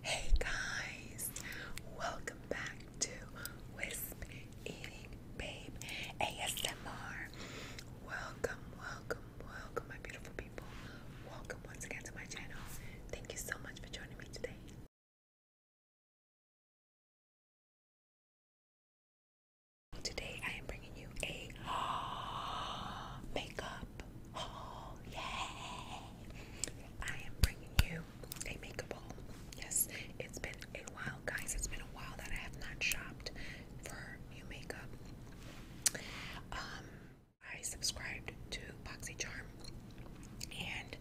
Hey guys, welcome back to Wisp Eating Babe ASMR. Welcome, welcome, welcome, my beautiful people. Welcome once again to my channel. Thank you so much for joining me today. Today I am bringing you a makeup Oh, yay! I am bringing you a makeup haul. Yes, it's been a while, guys. It's been a while that I have not shopped for new makeup. Um, I subscribed to Charm, and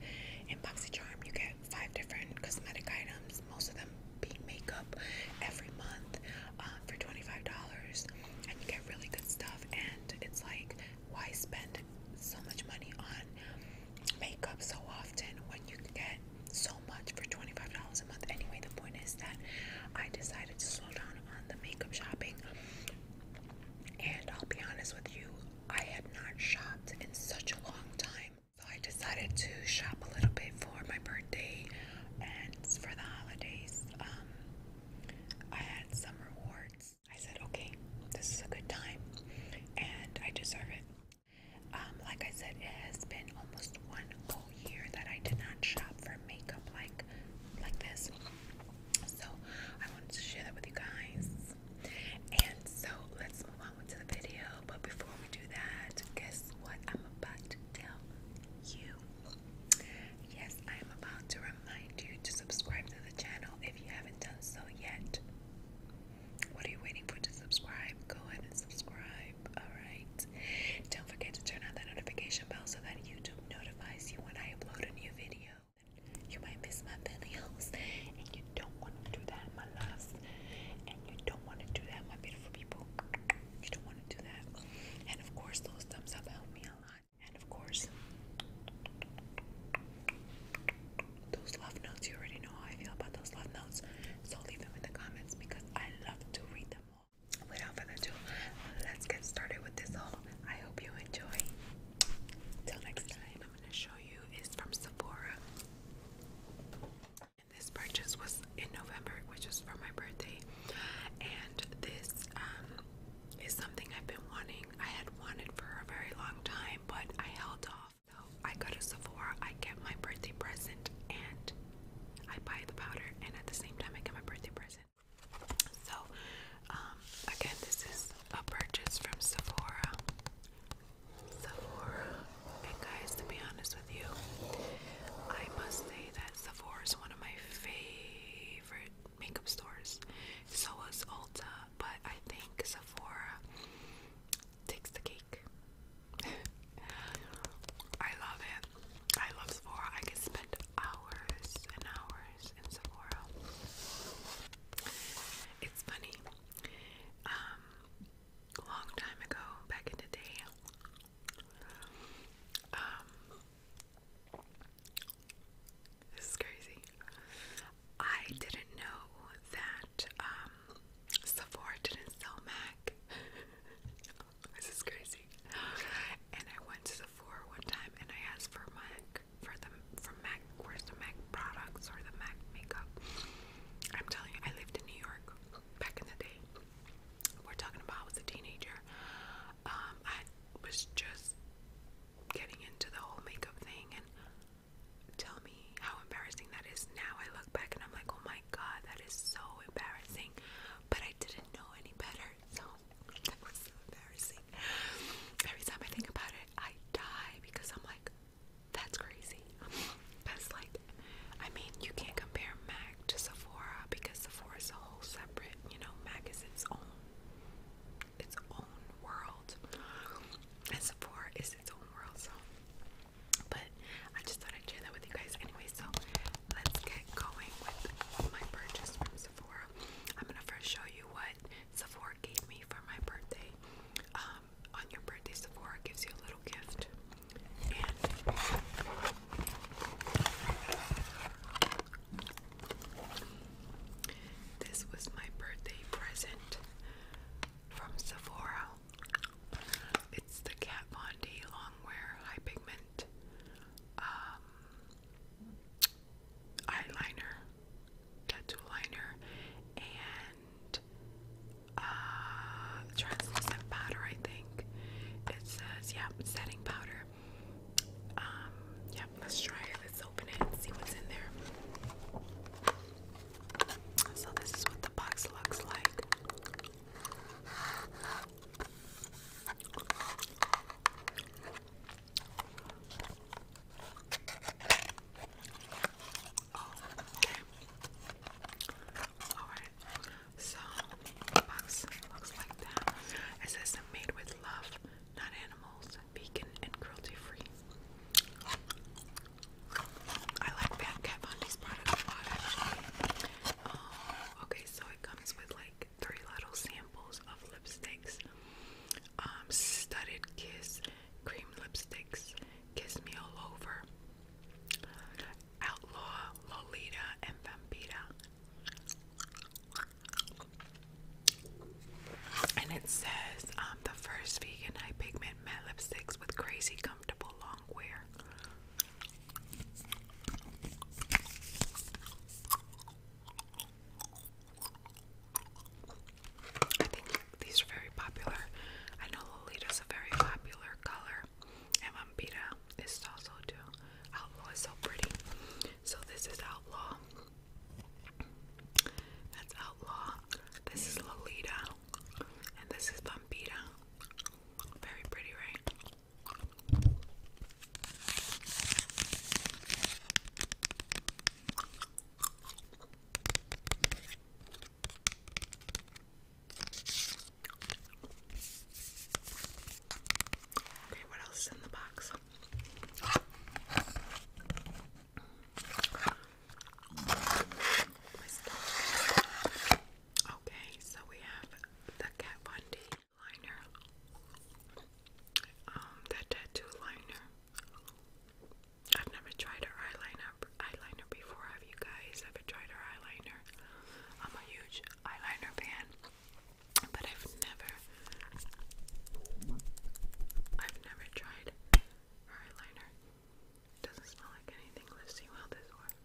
in Charm you get five different cosmetic items, most of them being makeup, every month uh, for $25. And you get really good stuff, and it's like why spend so much money on makeup so often when you can get so much for $25 a month? Anyway, the point is that I decided to slow down on the makeup shopping. And I'll be honest with you, I had not shopped in such a long time. So I decided to shop a little bit for my birthday and for the holidays. Um, I had some rewards I said, okay, this is a good time and I deserve it. Um, like I said, it has been almost one whole year that I did not shop for makeup like like this. So I wanted to share that with you guys. And so let's move on to the video. But before we do that, guess what I'm about to tell you? Yes, I am about to remind you to subscribe to the channel if you haven't done so yet. What are you waiting for to subscribe? Go ahead and subscribe. Alright. Don't forget to turn on that notification bell so that YouTube notifies you when I upload a new video. You might miss my videos and you don't want to do that, my loves. And you don't want to do that, my beautiful people. You don't want to do that. And of course those thumbs up help me a lot. And of course, those love notes, you already know how I feel about those love notes. So leave them in the comments because I love to read them all. Without further ado, let's get started with this haul. I hope you enjoy. Till next time, I'm going to show you is from Sephora. this purchase was in November, which is for my birthday. And this um, is something I've been wanting. I had wanted for a very long time, but I held off. So I go to Sephora, I get my birthday present, and I buy the powder, and at the same time, I get my birthday present. So, um, again, this is a purchase from Sephora. Sephora, and guys, to be honest with you, I must say that Sephora is one of my favorite makeup stores. So is Ulta, but I think Sephora takes the cake. I love it. I love Sephora. I can spend hours and hours in Sephora. It's funny. Um, long time ago, back in the day, um, this is crazy. I didn't know that um, Sephora didn't sell MAC. this is crazy. And I went to Sephora one time and I asked for MAC for the for MAC. Where's the MAC products or the MAC makeup? I'm telling you, I lived in New York back in the day. We're talking about was a teenager. Um, I was just getting into the whole makeup thing and tell me how embarrassing that is now. I look back and I'm like, oh my god, that is so embarrassing. But I didn't know any better, so that was so embarrassing. Every time I think about it, I die because I'm like, that's crazy. That's like, I mean, you can't compare MAC to Sephora because Sephora is a whole separate, you know, MAC is its own its own world. And Sephora is its own world, so but I just thought I'd share that with you guys anyway. So let's get going with my purchase from Sephora. I'm gonna first show you what Sephora gave me for my birthday. Um, on your birthday, Sephora gives you a little gift, this was my birthday present from Sephora. It's the Kat Von D Longwear High Pigment um, Eyeliner, Tattoo Liner, and uh, Translucent Powder, I think. It says, yeah, setting powder. Um, yep, let's try it open it and see what's in there. So, this is what the box looks like. Oh, Alright. So, the box looks like that. It says made with love not animals, vegan and cruelty free. I like that Kat Von D's product um, okay, so it comes with like three little samples of lipsticks. Um, studded kiss cream lipsticks, kiss me all over, outlaw, Lolita, and Vampita. And it says, um, the first vegan high pigment matte lipsticks with crazy comfortable long wear. I think these are very popular. I know is a very popular color, and Vampira is also too. Outlaw is so pretty. So this is Outlaw. That's Outlaw. This is Lolita. And this is Bumpita. Very pretty, right? Okay, what else is in the box? Okay, so we have the Kat Von D liner. Um, that tattoo liner. I've never tried her eyeliner eyeliner before. Have you guys ever tried her eyeliner? I'm a huge eyeliner fan, but I've never I've never tried eyeliner. doesn't smell like anything. Let's see how this works.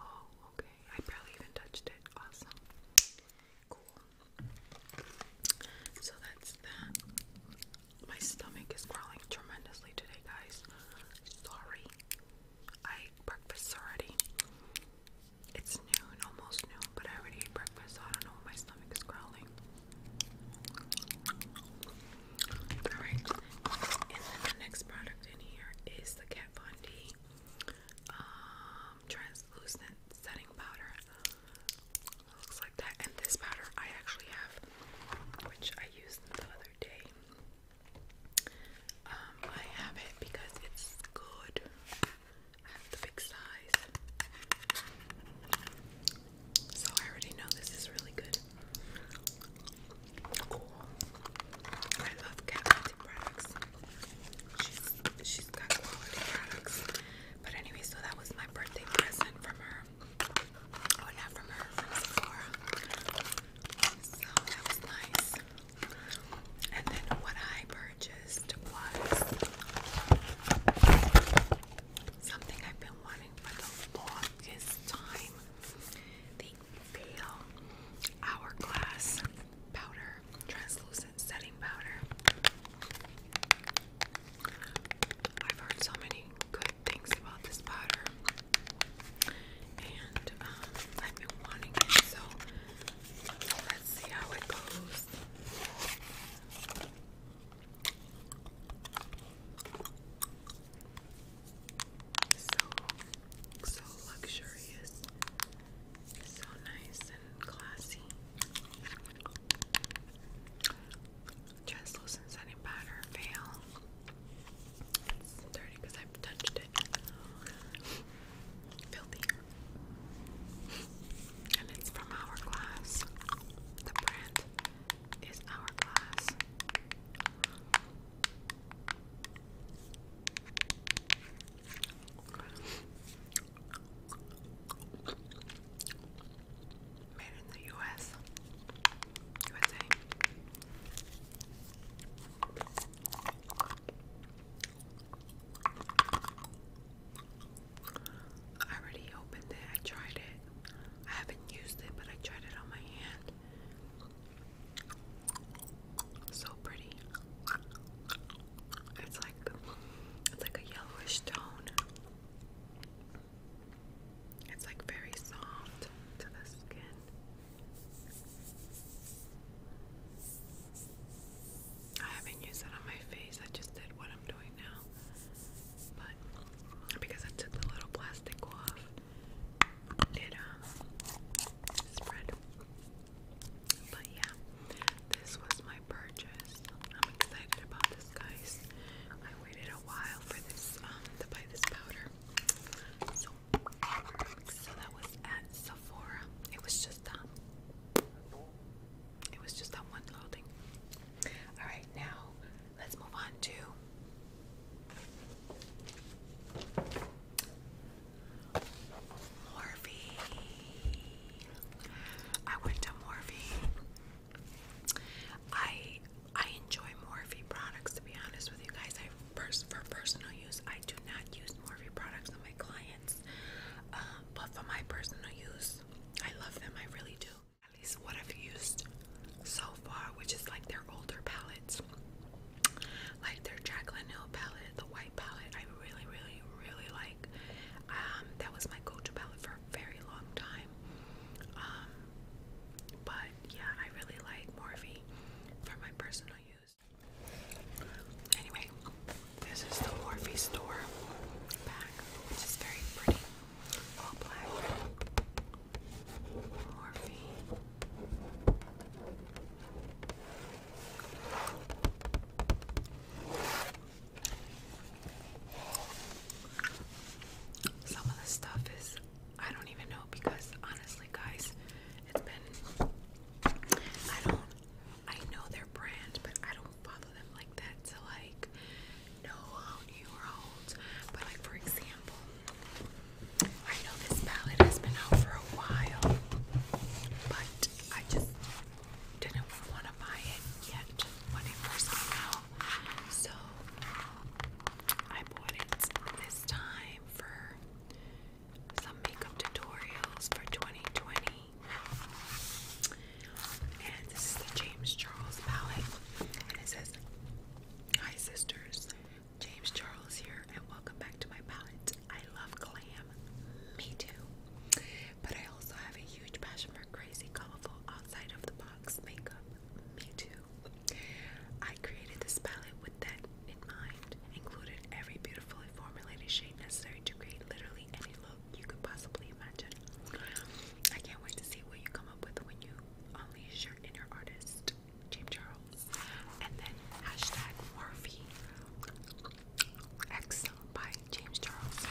Oh, okay. I barely even touched it. Awesome. Cool. So that's that. My stomach is growling tremendously today, guys. Sorry. I ate breakfast already. It's almost noon, but I already ate breakfast, I don't know why my stomach is growling. Alright, and the next product in here is the Kat Von D um, Translucent Setting Powder. looks like that. And this powder I actually have, which I used the other day. Um, I have it because it's good. I have the big size. So I already know this is really good. Cool. I love Kat products. She's she's got quality products. But anyway, so that was my birthday present from her. Oh, not from her, from Sephora. So that was nice. And then what I purchased was something I've been wanting for the longest time the Pale Hourglass Powder, Translucent Setting Powder. I've heard so many good things about this powder, and um, I've been wanting it, so let's see how it goes. So, so luxurious, so nice and classy. Dress lotion setting powder veil. It's dirty because I've touched it. Filthy. And it's from Hourglass. The brand is Hourglass. Made in the US. USA. I already opened it. I tried it. I haven't used it, but I tried it on my hand. So pretty. It's like it's like a yellowish tone. It's like very soft to the skin. I haven't used that on my face. I just did what I'm doing now. But because I took the little plastic off, it um, spread. But yeah, this was my purchase. I'm excited about this, guys. I waited a while for this um, to buy this powder. so that was at Sephora. It was just um it was just that one little All right, now let's move on to Morphe. I went to Morphe. I I enjoy Morphe products to be honest with you guys. I first for personal use, I do not use Morphe products on my clients, uh, but for my personal use, I love them, I really do. At least what I've used so far, which is like their older palettes. Like their Jacqueline Hill palette, the white palette, I really, really, really like. Um, that was my go-to palette for a very long time. Um, but yeah, I really like Morphe for my personal use. Anyway, this is the Morphe store bag, which is very pretty. All black. Morphe. Some of the stuff is, I don't even know because honestly, guys, it's been, I don't I know their brand, but I don't follow them like that to like know how new rolls. But like for example, I know this palette has been out for a while, but I just didn't want to buy it yet when it So I bought it this time for some makeup tutorials for 2020 and this is the James Charles palette. And it says, Hi sisters, James Charles here, and welcome back to my palette. I love glam, me too. But I also have a huge passion for crazy, colorful, outside of the box makeup, me too. I created this palette with that in mind, included every beautifully formulated shade necessary to create literally any look you could possibly imagine. I can't wait to see what you come up with when you unleash your inner artist, James Charles. And then hashtag Morphe X by James Charles.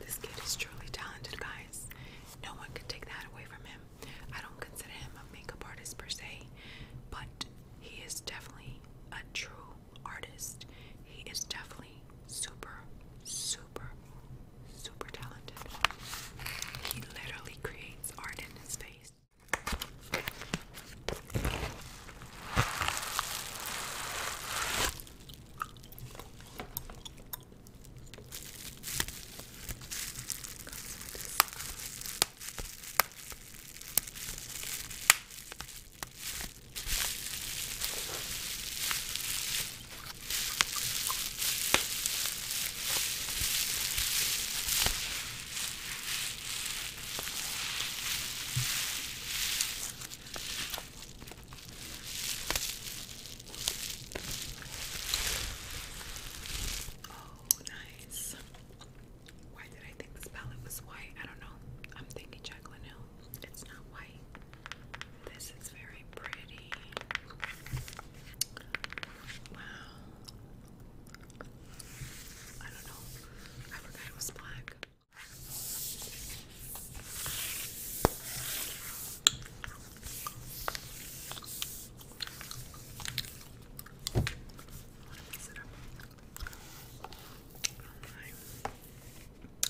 This kid is truly talented, guys. No one can take that away from him. I don't consider him a makeup artist per se, but he is definitely a true artist. He is definitely super, super, super talented. He literally creates art in his face. Oh, nice. Why did I think this palette was white? I don't know. I'm thinking Jacqueline Hill. It's not white. This is very pretty. Wow. I don't know. I forgot it was black.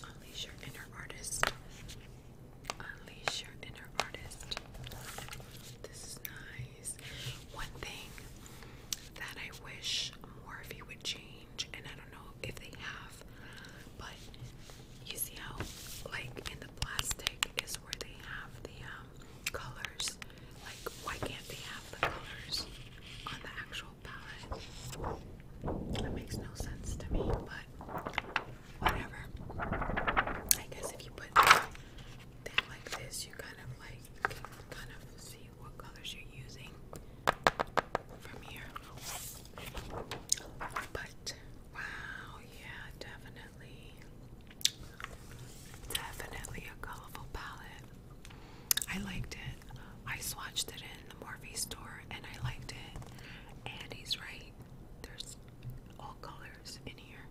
Unleash your inner artist. Unleash your inner artist. This is nice. One thing that I wish more of you would change, and I don't know if they have, but you see how, like in the plastic, is where they have the um, colors. Like, why can't they have the colors on the actual palette. That makes no sense to me, but whatever. I guess if you put that like this, you kind of like kind of see what colors you're using from here. But wow, yeah, definitely, definitely a colorful palette. I liked it. I swatched it in the Morphe store and I liked it. And he's right. There's all colors in here.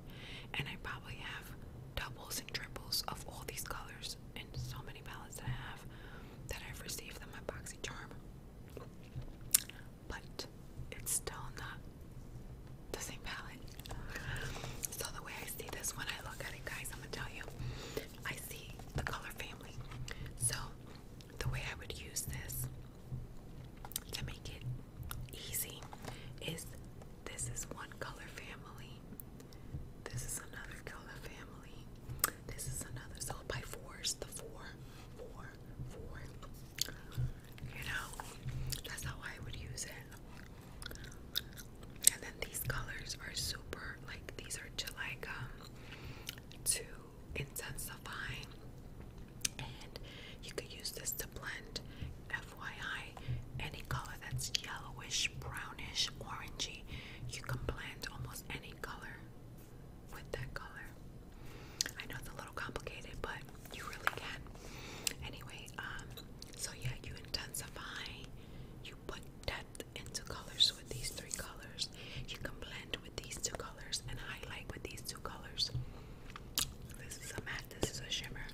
And I probably have doubles and triples of all these colors in so many palettes that I have that I've received them my boxy charm. But it's still not the same palette. So the way I see this when I look at it guys, I'm gonna tell you. I see the color family. So the way I would use this to make it easy is this is one color family, this is another color family, this is another. So by fours, the four, four, four. You know, that's how I would use it. And then these colors are super, like these are to like um Intensify, and you could use this to blend. FYI, any color that's yellowish, brownish, orangey, you can blend almost any color with that color. I know it's a little complicated, but you really can. Anyway, um, so yeah, you intensify, you put 10 into colors with these three colors. You can blend with these two colors and highlight with these two colors. This is a matte, this is a shimmer,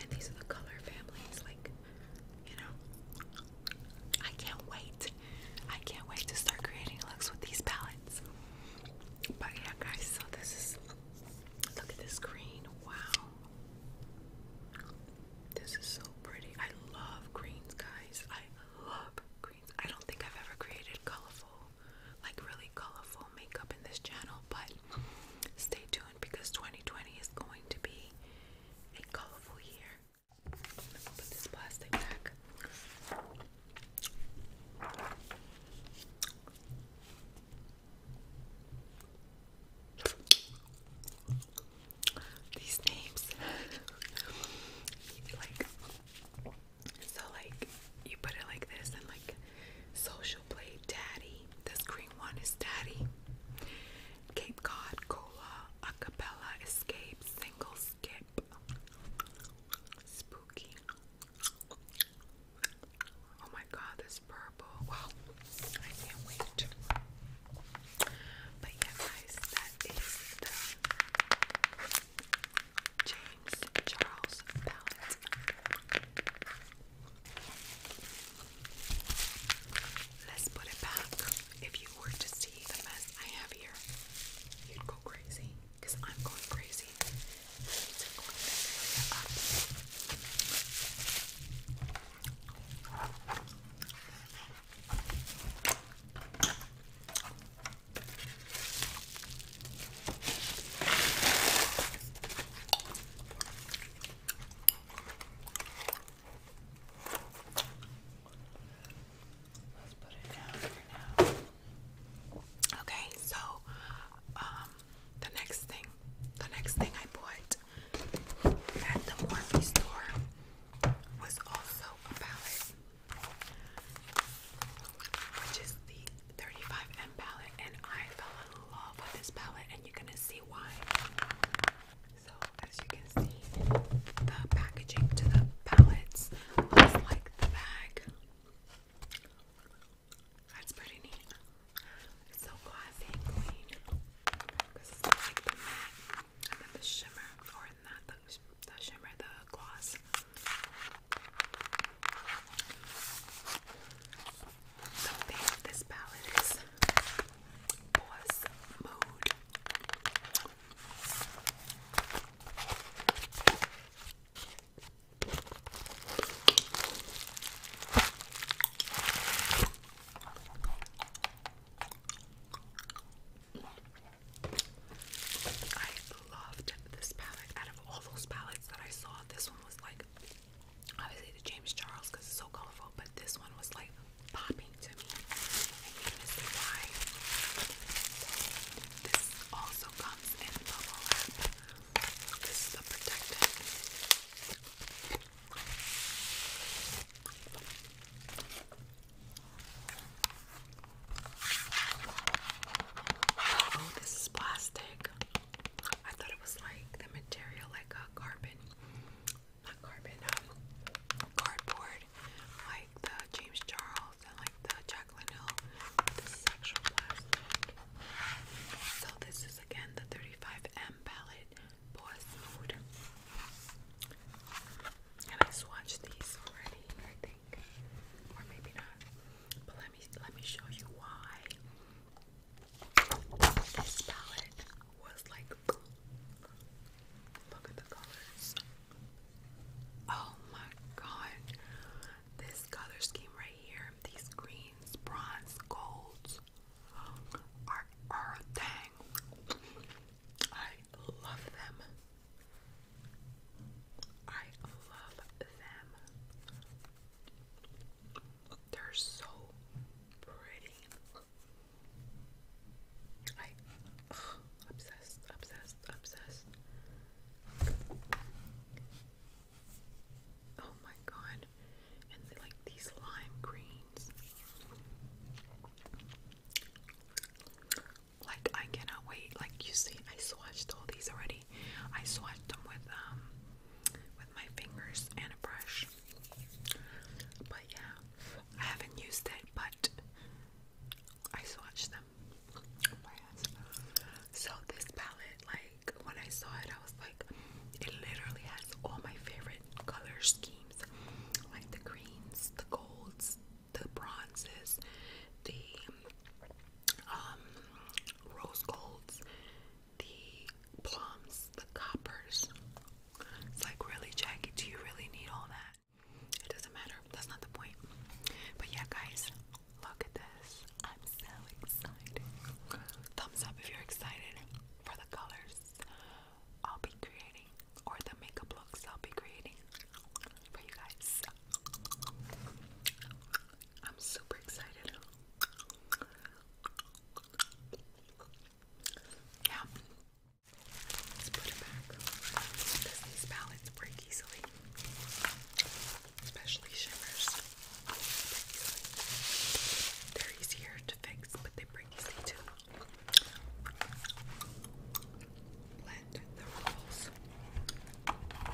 and these are the color families. Like, you know, I can't wait. I can't wait to start creating looks with these palettes. But yeah, guys, so this is look at this green. Wow. This is so pretty. I love greens, guys. I love I don't think I've ever created colorful, like really colorful makeup in this channel, but stay tuned because 2020 is going to be a colorful year. put this plastic back these names. like so like you put it like this and like social play daddy. This green one is daddy. Cape Cod Cola Acapella Escape Single Skip Spooky. Oh my god, this purple. Wow, I can't wait. But yeah, guys, that is the James Charles palette. Let's put it back. If you were to see the mess I have here, you'd go crazy. Because I'm going crazy. Let's Okay, so um, the next thing, the next thing I bought at the Morphe store was also a palette which is the 35M palette, and I fell in love with this palette, and you're gonna see why. So, as you can see, the packaging to the palettes looks like the bag. That's pretty neat. so glossy and This is like the matte and then the shimmer, or not the the shimmer, the gloss. The thing with this palette is boss mood. I loved this palette. Out of all those palettes that I saw, this one was like obviously the James Charles because it's so colorful, but this one was like popping to me. And you're gonna see why. This also comes in bubble wrap. This is the protectant. Oh, this is plastic. I thought it was like the material, like a carbon, not carbon, um, cardboard, like the James Charles and like the Jacqueline Hill. This is actual plastic. So this is again the 35M palette, Boss Mood. And I swatched these already, I think, or maybe not. But let me let me show you why this palette was like. Look at the colors. Oh my god. This color scheme right here, these greens, bronze, golds are, are a I love them. I love them. They're so pretty. I obsessed, obsessed, obsessed. Oh my god. And like these lime greens. Like I cannot wait. Like you see, I swatched all these already. I swatched them with um with my fingers and a brush. But yeah, I haven't used it, but I swatched them. So this palette, like when I saw it, I was like, it literally has all my favorite color schemes, like the greens, the golds, the bronzes, the um, rose golds, the plums, the coppers. It's like, really, Jackie, do you really need all that? It doesn't matter. That's not the point. But yeah, guys, look at this. I'm so excited. Thumbs up if you're excited for the colors I'll be creating or the makeup looks I'll be creating for you guys. I'm super excited. Yeah. Let's put it back because these palettes break easily, especially shimmers. They're easier to fix, but they break easily too. Let the rolls products.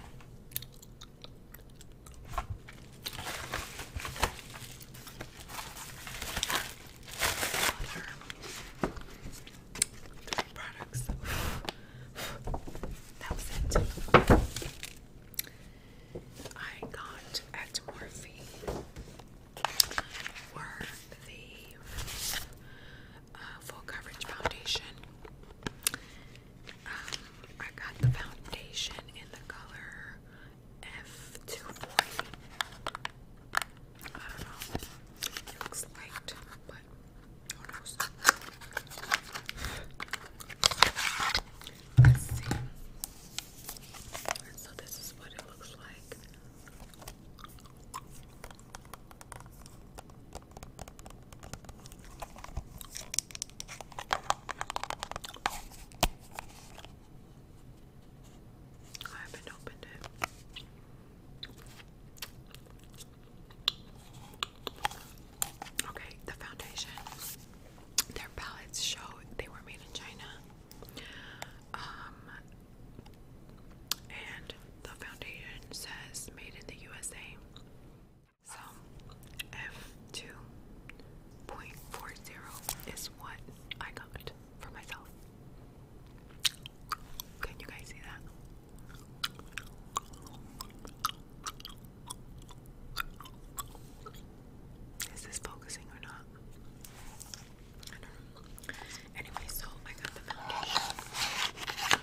that was it. I got at Morphe the uh, full coverage foundation. Um, I got the foundation in the color F240. I don't know. looks light, but who Let's see. So this is what it looks like. I haven't opened it. Okay, the foundation. Their ballots show they were made in China. Um, and the foundation says made in the USA. So F2.40 is what I got for myself. Can you guys see that? Is this focusing or not? Anyway, so I got the foundation.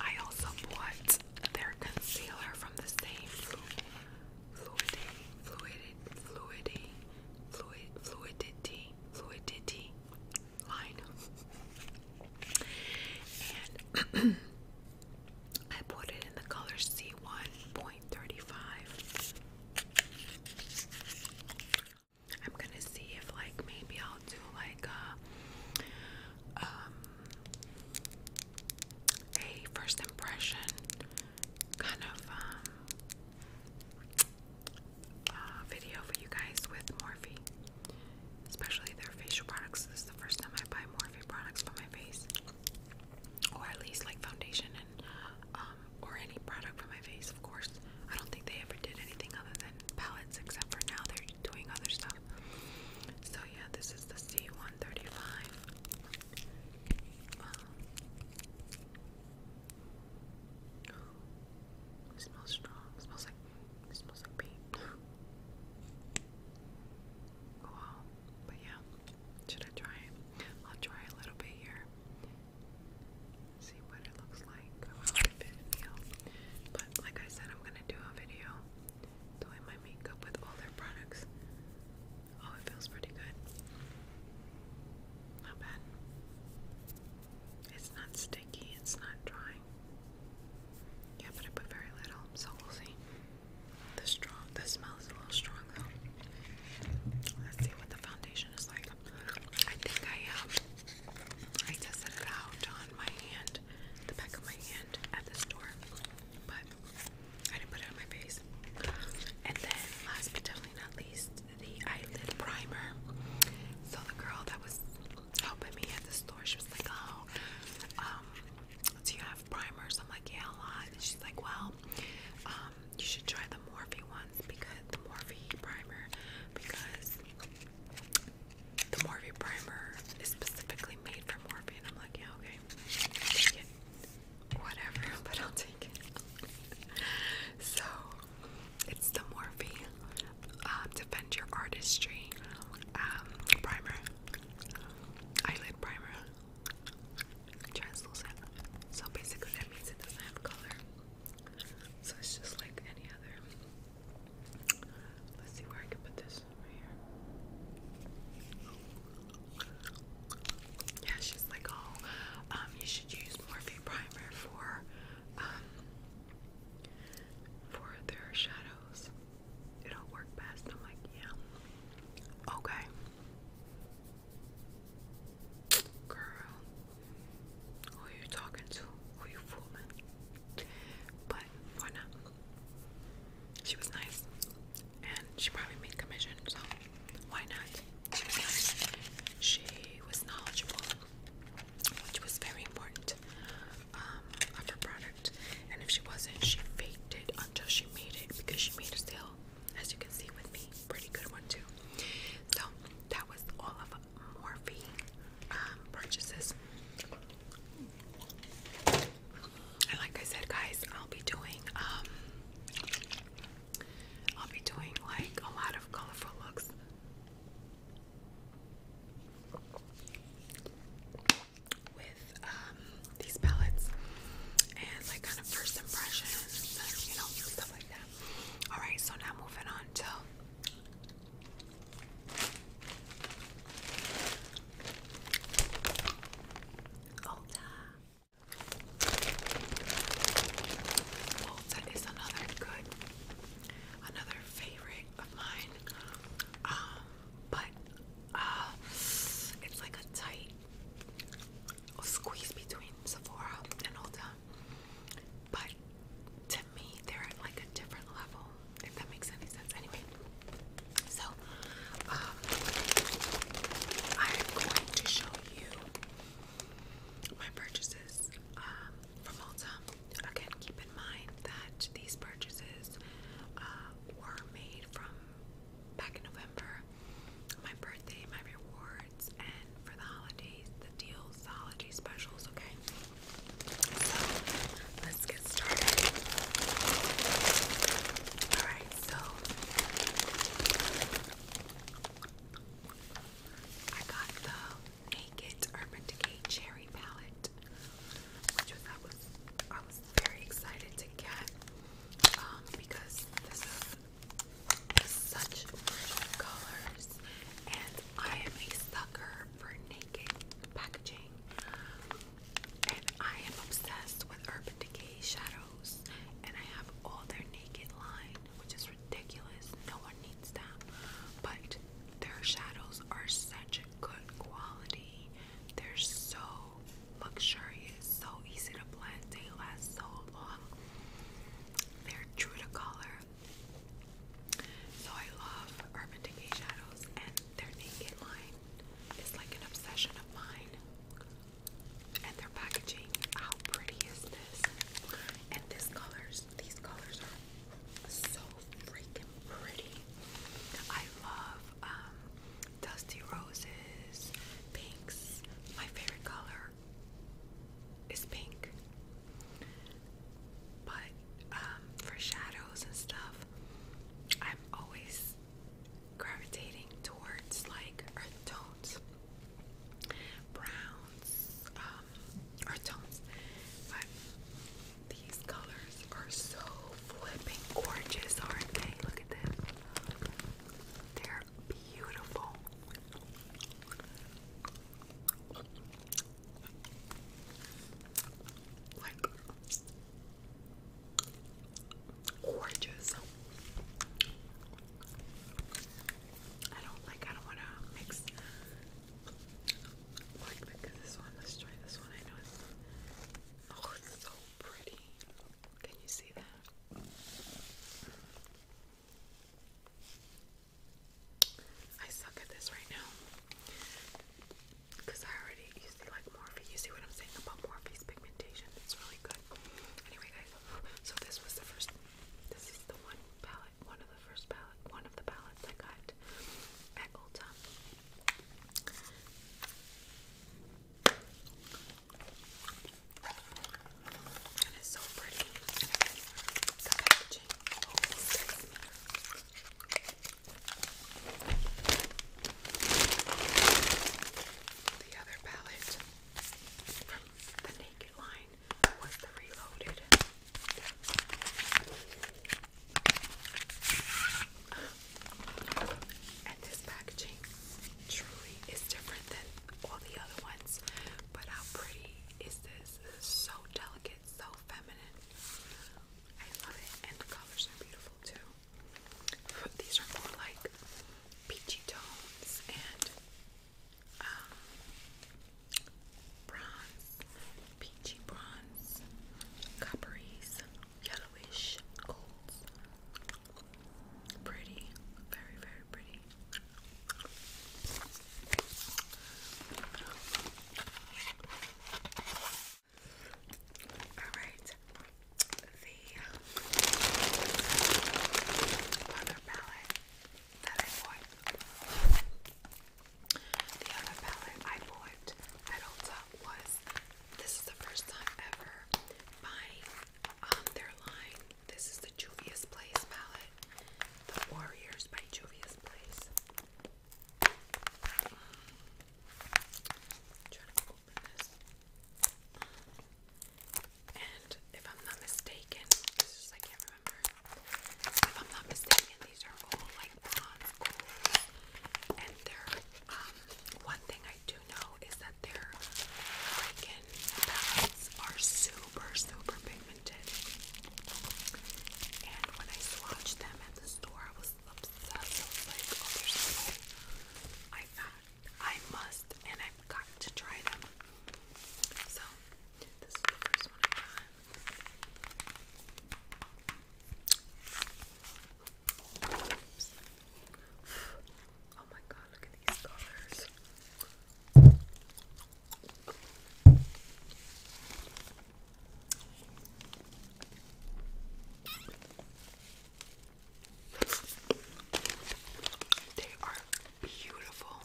I also bought their concealer from the same fluidity fluidity fluidity fluid fluidity fluidity line. and I put it in the color C1.35. I'm gonna see if, like, maybe I'll do like a, uh, um, a first impression kind of um, uh, video for you guys with Morphe, especially their facial products. This is the first time I buy Morphe products for my face, or at least like foundation and um, or any product for my face. Of course, I don't think they ever did anything other than palettes, except for now they're doing other stuff. So yeah, this is the C one thirty five. Um, it smells strong. It smells like it smells like paint. Oh, wow. But yeah, should I try it? I'll try a little bit here. See what it looks like. But like I said, I'm gonna do a video doing my makeup with all their products. Oh, it feels pretty good. Not bad. It's not sticky, it's not drying. Yeah, but I put very little, so we'll see. The strong the smell is a little strong though. Let's see what the foundation is like. I think I um I tested it out on my hand, the back of my hand at the store. But I didn't put it on my face. And then last but definitely not least the eyelid primer. So the girl that was helping me at the store, she was like, "Oh, um, do you have primers?" I'm like, "Yeah, a lot." she's like, "Well, um, you should try the Morphe ones because the Morphe primer because." The Morphe primer is specifically made for Morphe, and I'm like, yeah, okay, whatever, but I'll take it. so it's the Morphe um, Defend Your Artistry um, Primer, Eyelid Primer, translucent. So basically, that means it doesn't have color. So it's just like any other. Let's see where I can put this right here. Yeah, she's like, oh, you should use Morphe primer for um, for their shadows. It'll work best. I'm like, yeah, okay, girl. Who are you talking to? Who you fooling? But why not? She was nice, and she probably made commission, so why not? She was knowledgeable, which was very important um, of her product. And if she wasn't, she faked it until she made it because she made a sale, as you can see with me. Pretty good one, too. So, that was all of Morphe um, purchases. And like I said, guys, I'll be doing um, I'll be doing like a lot of colorful looks. With um, these palettes and like kind of first impressions, you know, stuff like that. All right, so now moving on to Ulta. Volta oh, is another good, another favorite of mine. Um, but uh, it's like a tight squeeze between Sephora and Ulta. But to me, they're at like a different level, if that makes any sense. Anyway, so um, I'm going to show you my purchases um, from Ulta. Again, keep in mind that these purchases uh, were made from back in November, my birthday, my rewards, and for the holidays, the deals, holiday specials, okay? So, let's get started. Alright, so I got the Naked Urban Decay Cherry Palette, which I was I was very excited to get um, because this is such rich colors, and I am a sucker for naked packaging, and I am obsessed with Urban Decay shadows, and I have all their naked line which is ridiculous. No one needs that. But their shadows are such good quality. They're so luxurious, so easy to blend. They last so long. They're true to color. So I love Urban Decay shadows, and their Naked line is like an obsession of mine. And their packaging, how pretty is this? And these colors, these colors are so freaking pretty. I love um, dusty roses, pinks. My favorite color is pink. But um, for shadows and stuff, I'm always gravitating towards like earth tones, browns, um, our tones, but these colors are so flipping gorgeous, aren't they? Look at this. They're beautiful. Like gorgeous. I don't like, I don't want to mix like this one, let's try this one. I know it's oh, it's so pretty. Can you see that? I suck at this right now because I already used the like Morphe. You see what I'm saying about Morphe's pigmentation? It's really good. Anyway, guys, so this was the first. This is the one palette one of the first palette, one of the palettes I got at Ulta. And it's so pretty. And packaging The other palette from the Naked line was reloaded. And this packaging truly is different than all the other ones. But how pretty is this? so delicate, so feminine. I love it. And the colors are beautiful too. these are more like peachy tones and um, bronze, peachy bronze, copperies, yellowish golds. Pretty, very, very pretty. All right, the other palette that I bought. The other palette I bought that holds was this is the first time ever buying um, their line. This is the Juvia's Place palette, The Warriors by Juvia's Place. trying to open this. And if I'm not mistaken, this is I can't if I'm not mistaken, these are all like bronze And they're, um, one thing I do know is that their Kraken palettes are super, super pigmented. And when I saw them at the store, I was obsessed. I was like, oh, there's no way. I thought I must, and I've got to try them. So Oh my god, look at these colors. They are beautiful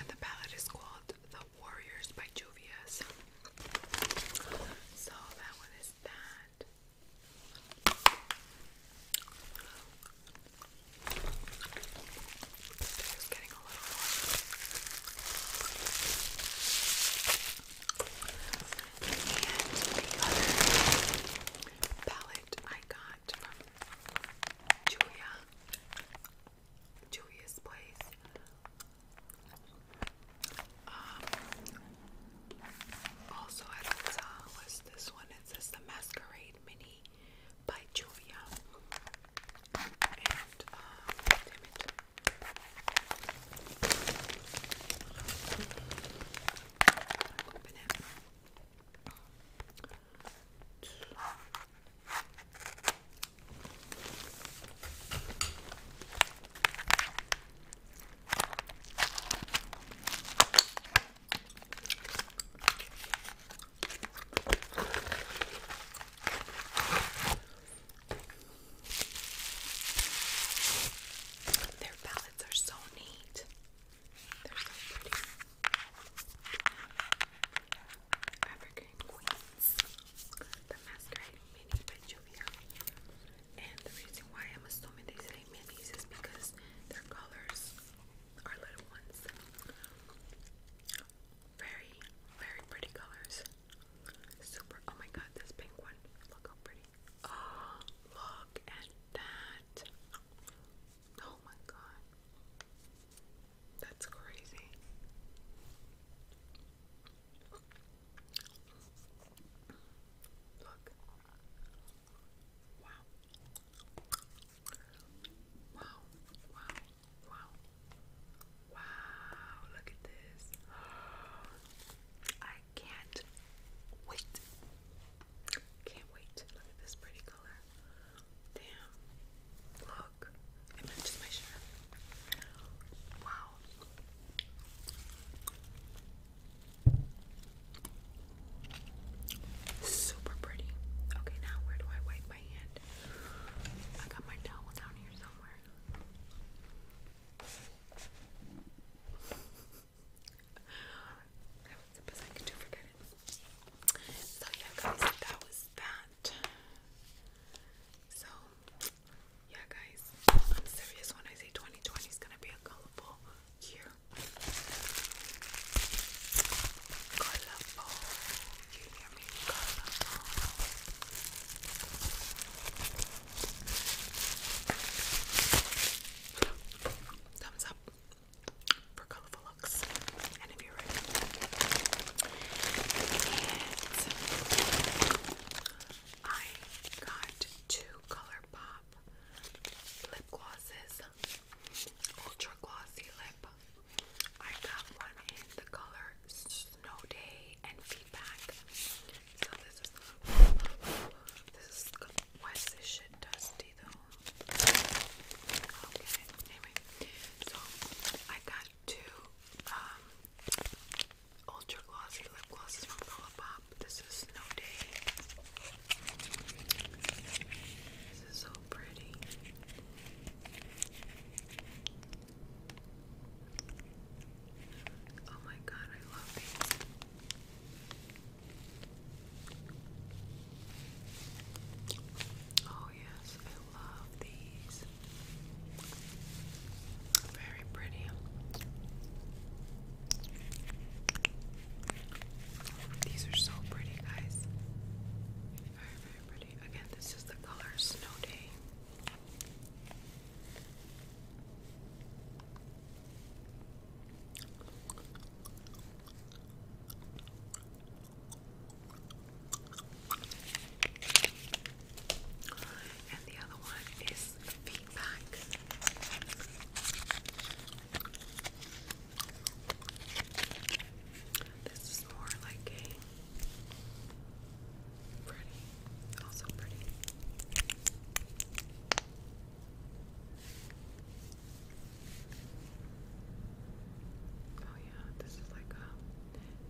and the palette is called The Warriors by Juvia's. So that one is that. And the other palette I got from Julia Julia's place. Um, also at Ulta was this one. It says the Masquerade Mini by Julia. Um, damn it. Open it. Their palettes are so neat. They're so pretty. Evergreen Queens, the Masquerade Mini by And the reason why I'm assuming they say minis is because their colors are little ones. Very, very pretty colors. Super. Oh my god, this pink one. Look how pretty. Oh, look at that. Oh my god. That's crazy. Look. Wow. Wow. Wow. Wow. Look at this. I can't wait. Can't wait. Look at this pretty color. Damn. Look. Wow. Super pretty. Okay, now where do I wipe my hand? I got my towel down here somewhere. that was the best I could do, forget it. So yeah guys, that was that that. So, yeah, guys, I'm serious when I say 2020 is gonna be a colorful year. Colorful, you hear me? Colorful. Thumbs up for colorful looks and if you're ready. I got two ColourPop lip glosses, ultra glossy lip. I got one in the color Snow Day and Feedback. So this is this is why this shit dusty though. Okay, anyway, so I got two um, ultra glossy lip glosses from Colourpop. This is Snow Day. This is so pretty. Oh my god, I love these. Oh, Oh, yes, I love these. Very pretty. These are so pretty, guys. Very, very pretty. Again, this is the color Snow Day. And the other one is feedback. This is more like a pretty, also pretty. Oh yeah, this is like a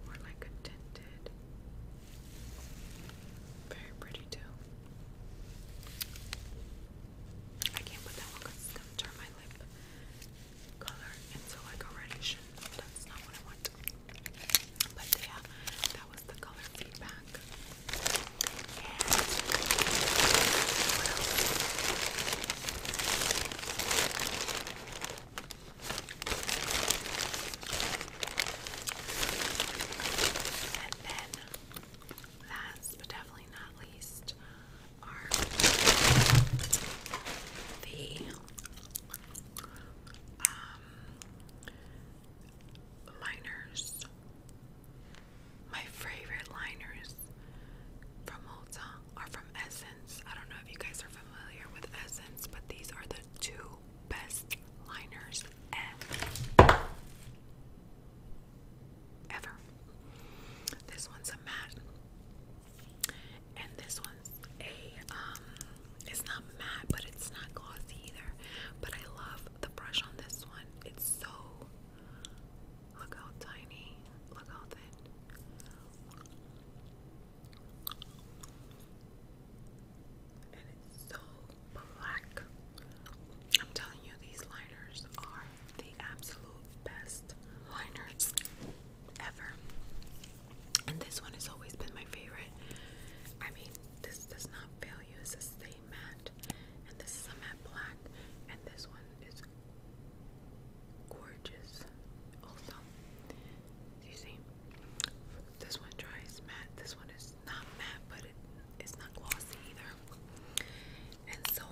more like a tinted. Very pretty too. I can't put that one because it's gonna turn my lip color into like a reddish that's not what I want. But yeah, that was the color feedback. And and then, last but definitely not least, are the um, liners. My favorite liners from Ulta are from Essence. I don't know if you guys are familiar with Essence, but these are the two best liners ever. This one's a matte, and this one's a um, It's not matte, but it's not glossy either. But I love the brush on this one. It's so. Look how tiny. Look how thin. And it's so black. I'm telling you, these liners are the absolute best liners ever. And this one has always been my favorite. I mean, this does not fail you. This is a matte, and this is a matte black, and this one is gorgeous. Also, you see, this one dries matte. This one is not matte, but it's not glossy either. And so,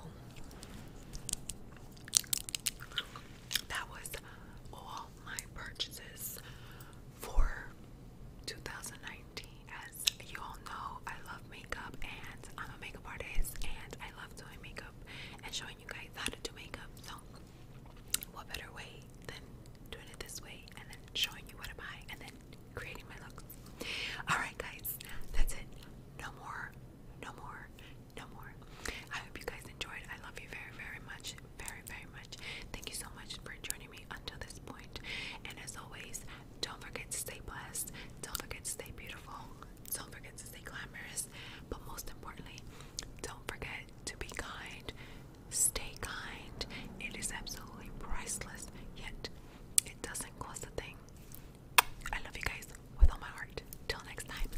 that was all my purchases for 2019. As you all know, I love makeup and I'm a makeup artist and I love doing makeup and showing you guys how to do makeup. So, what better way than doing it this way and then showing you what I buy and then creating my looks? Alright, guys, that's it. No more, no more, no more. I hope you guys enjoyed. I love you very, very much. Very, very much. Thank you so much for joining me until this point. And as always, don't forget to stay blessed, don't forget to stay beautiful. Don't forget to stay glamorous, but most importantly, don't forget to be kind. Stay kind. It is absolutely priceless, yet it doesn't cost a thing. I love you guys with all my heart. Till next time.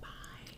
Bye.